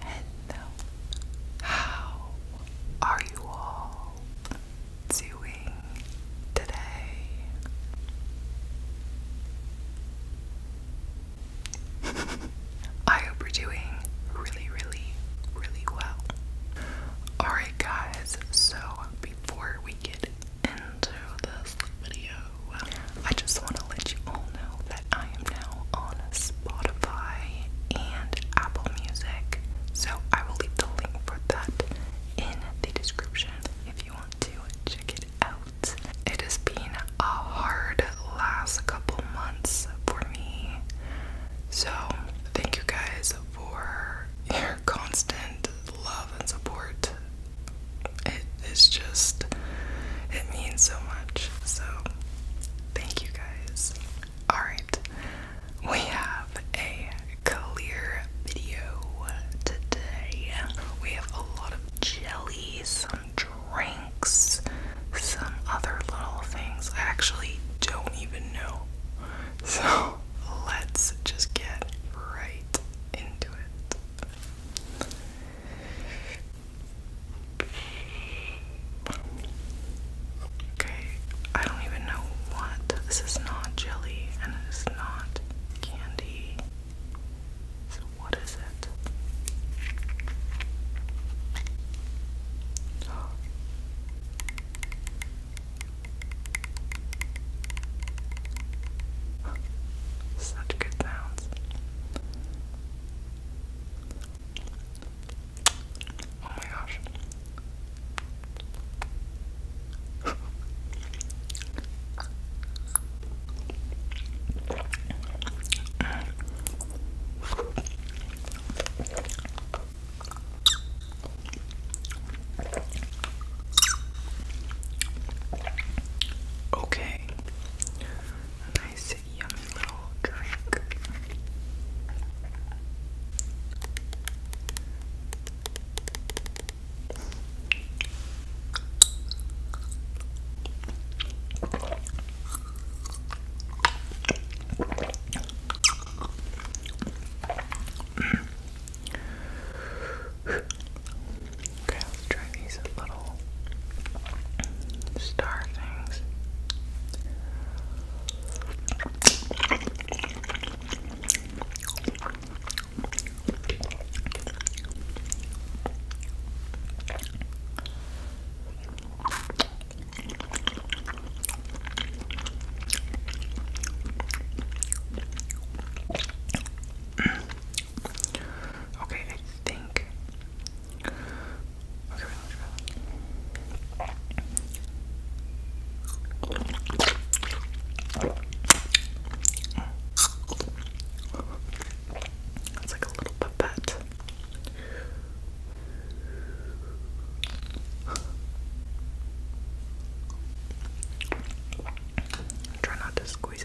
Hello. Um, how are you all doing today? I hope you're doing really, really, really well. Alright, guys, so before we get into this video, I just want to let you all know that I am now on Spotify and Apple Music. So I will leave the link for that in the description if you want to check it out. It has been a hard last couple months for me. So thank you guys for your constant love and support it is just it means so much. So thank you guys. Alright, we have a clear video today. We have a lot of jelly, some drinks, some other little things. I actually don't even know. So let's just get right into it. Okay, I don't even know what. This is not jelly and it is not candy. So, what is it? Such good sounds. Oh my gosh. Okay, a nice yummy little drink. Okay, let's try these little star things. Okay, I think. Okay, It's like a little pipette. Try not to squeeze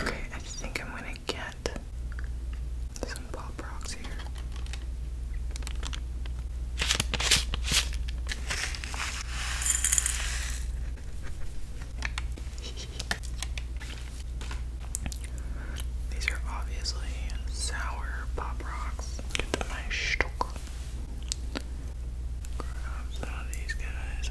Okay, I think I'm gonna get some pop rocks here. These are obviously sour pop rocks. Get to my stock. Grab some of these guys.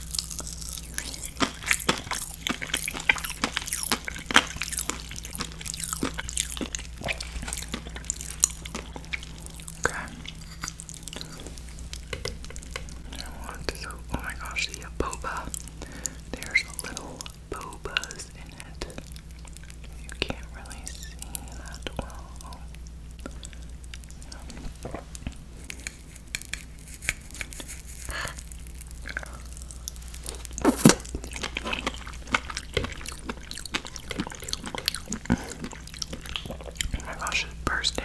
Okay. I want to, so, oh my gosh, the boba. There's little bobas in it. You can't really see that well. Oh my gosh, it's bursting.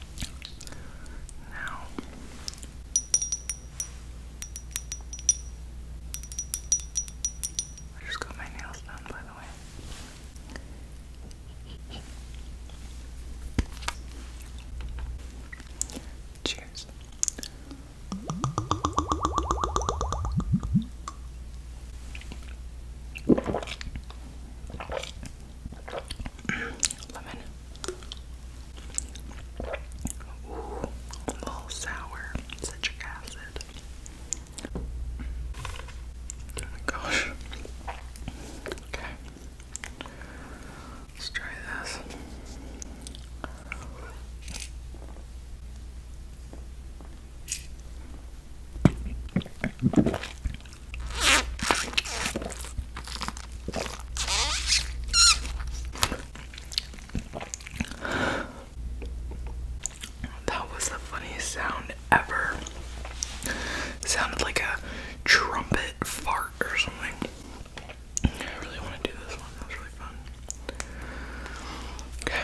I just got my nails done, by the way. Cheers lemon. Ooh, little sour, citric acid. Oh my gosh. Okay. Let's try this. That was the funniest sound ever. sounded like a trumpet fart or something. I really want to do this one. That was really fun. Okay.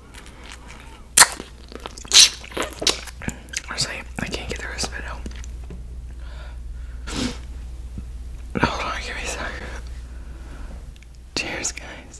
I Honestly, I can't get the rest of it out. Hold on, give me a sec. Cheers, guys.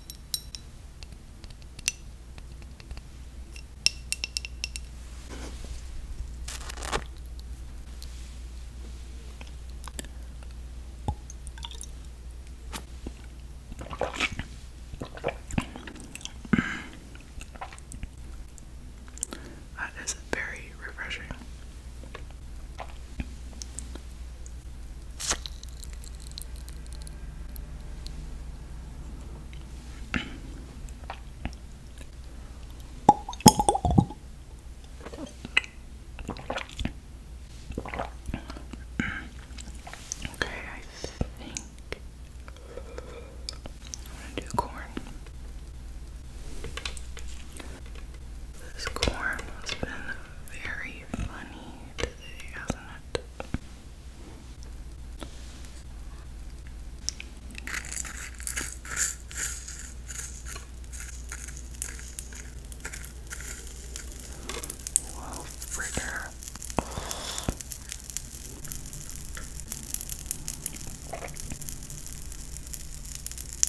That is very refreshing. Okay, I think I'm gonna do corn. This corn has been very pretty funny today, hasn't it? Whoa, fritter.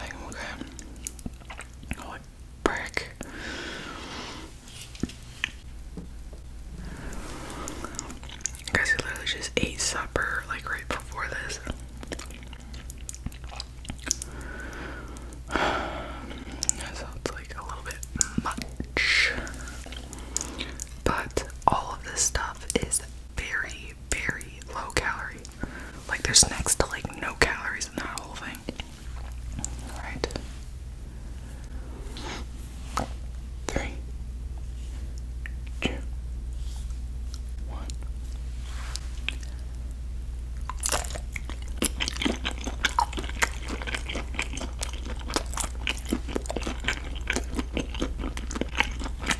okay. What brick? Guys, I literally just ate supper like right before this. That sounds like a little bit much. But all of this stuff is very, very, low calorie. Like there's next to like no calories in that whole thing. Alright. Three, two, one.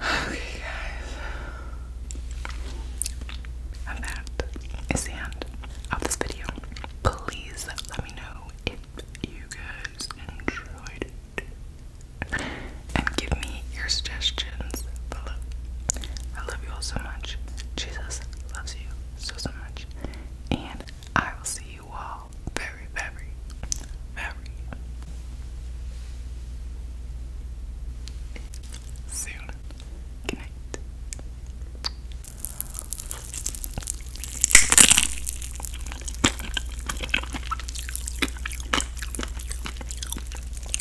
Okay, guys. And that is the end of this video. Please let me know if you guys enjoyed And give me your suggestions I love you all so much. Jesus loves you so, so much. And I will see you all very, very, very soon. Good